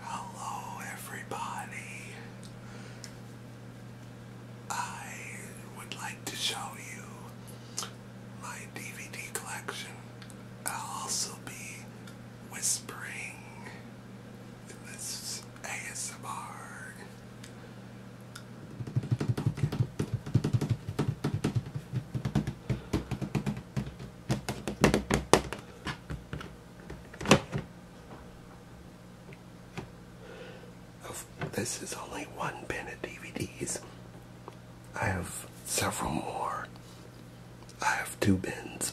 Hello, everybody. I would like to show you my DVD collection. I'll also be whispering in this ASMR. This is only one bin of DVDs. I have several more. I have two bins.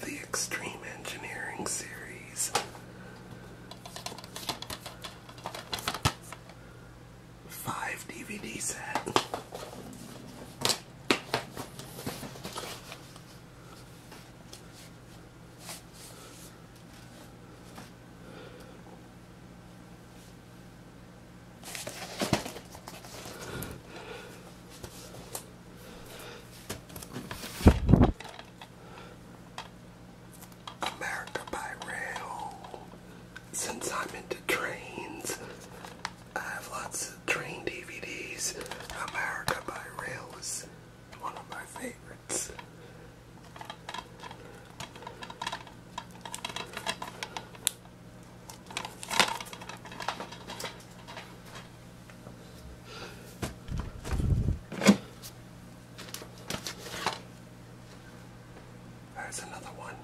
The Extreme Engineering Series five DVD set. America by rail. Since I'm into trains, I have lots of train DVDs. America by rail is one of my favorites. There's another one.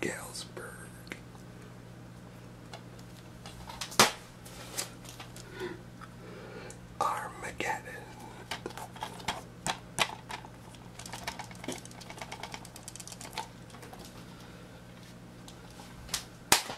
Galesburg. Armageddon.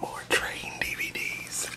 More train DVDs.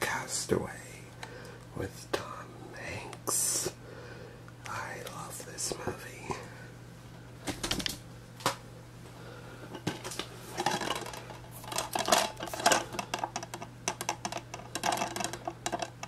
Castaway with Tom Hanks. I love this movie.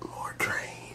More trains.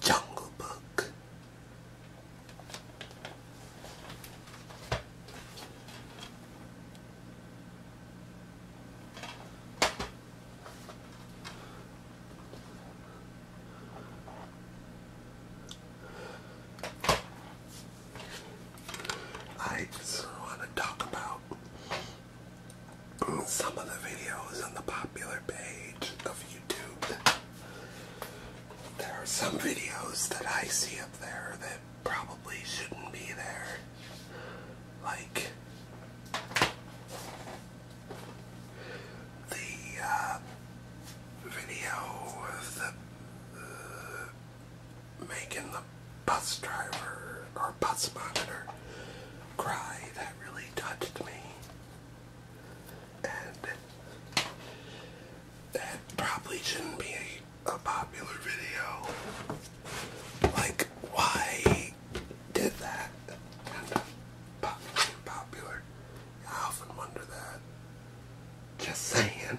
Jungle Book. I want to talk about some of the videos on the popular page of there are some videos that I see up there that probably shouldn't be there. Like the uh, video of the uh, making the bus driver or bus monitor cry that really touched me and that probably shouldn't be a, popular video. Like, why did that? Kind popular. I often wonder that. Just saying.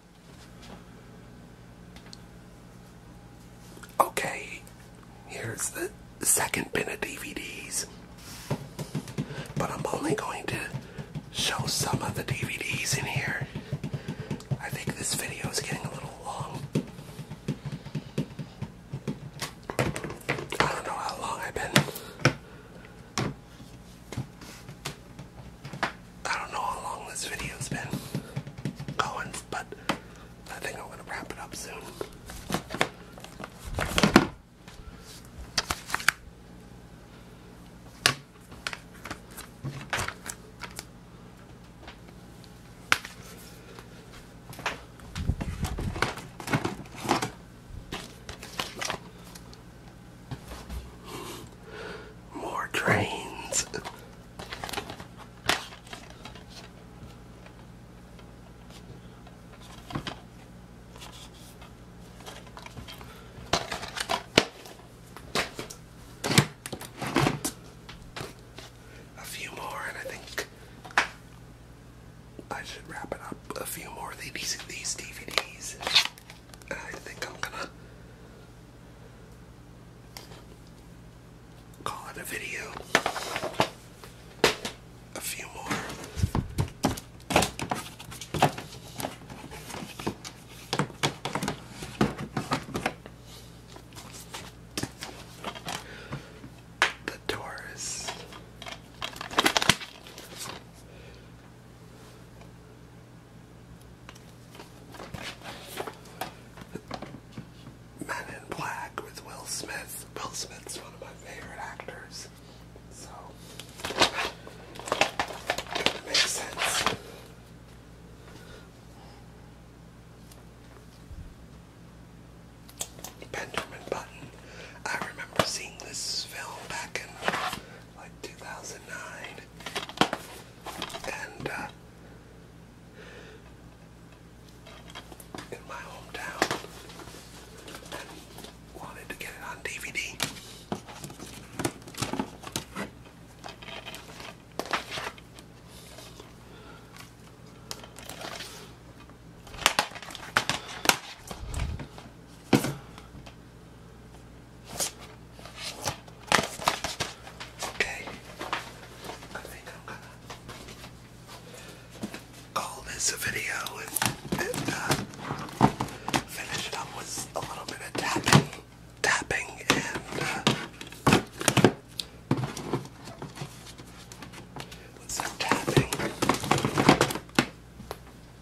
Okay, here's the second bin of DVDs. But I'm only going to show some of the DVDs in here. I think this video is getting a little long. I don't know how long I've been I don't know how long this video's been going, but I think I'm gonna wrap it up soon. More trains. A few more, and I think I should wrap it up. A few more of these, these DVDs. I think I'm gonna call it a video. A few more. The Taurus. Men in Black with Will Smith. Will Smith's one of my favorite actors. So makes sense. Benjamin Button. I remember seeing this film back in like 2009, and uh, in my hometown, and wanted to get it on DVD. Okay, I think call this a video and, uh, finish it up with a little bit of tapping, tapping and uh, some tapping.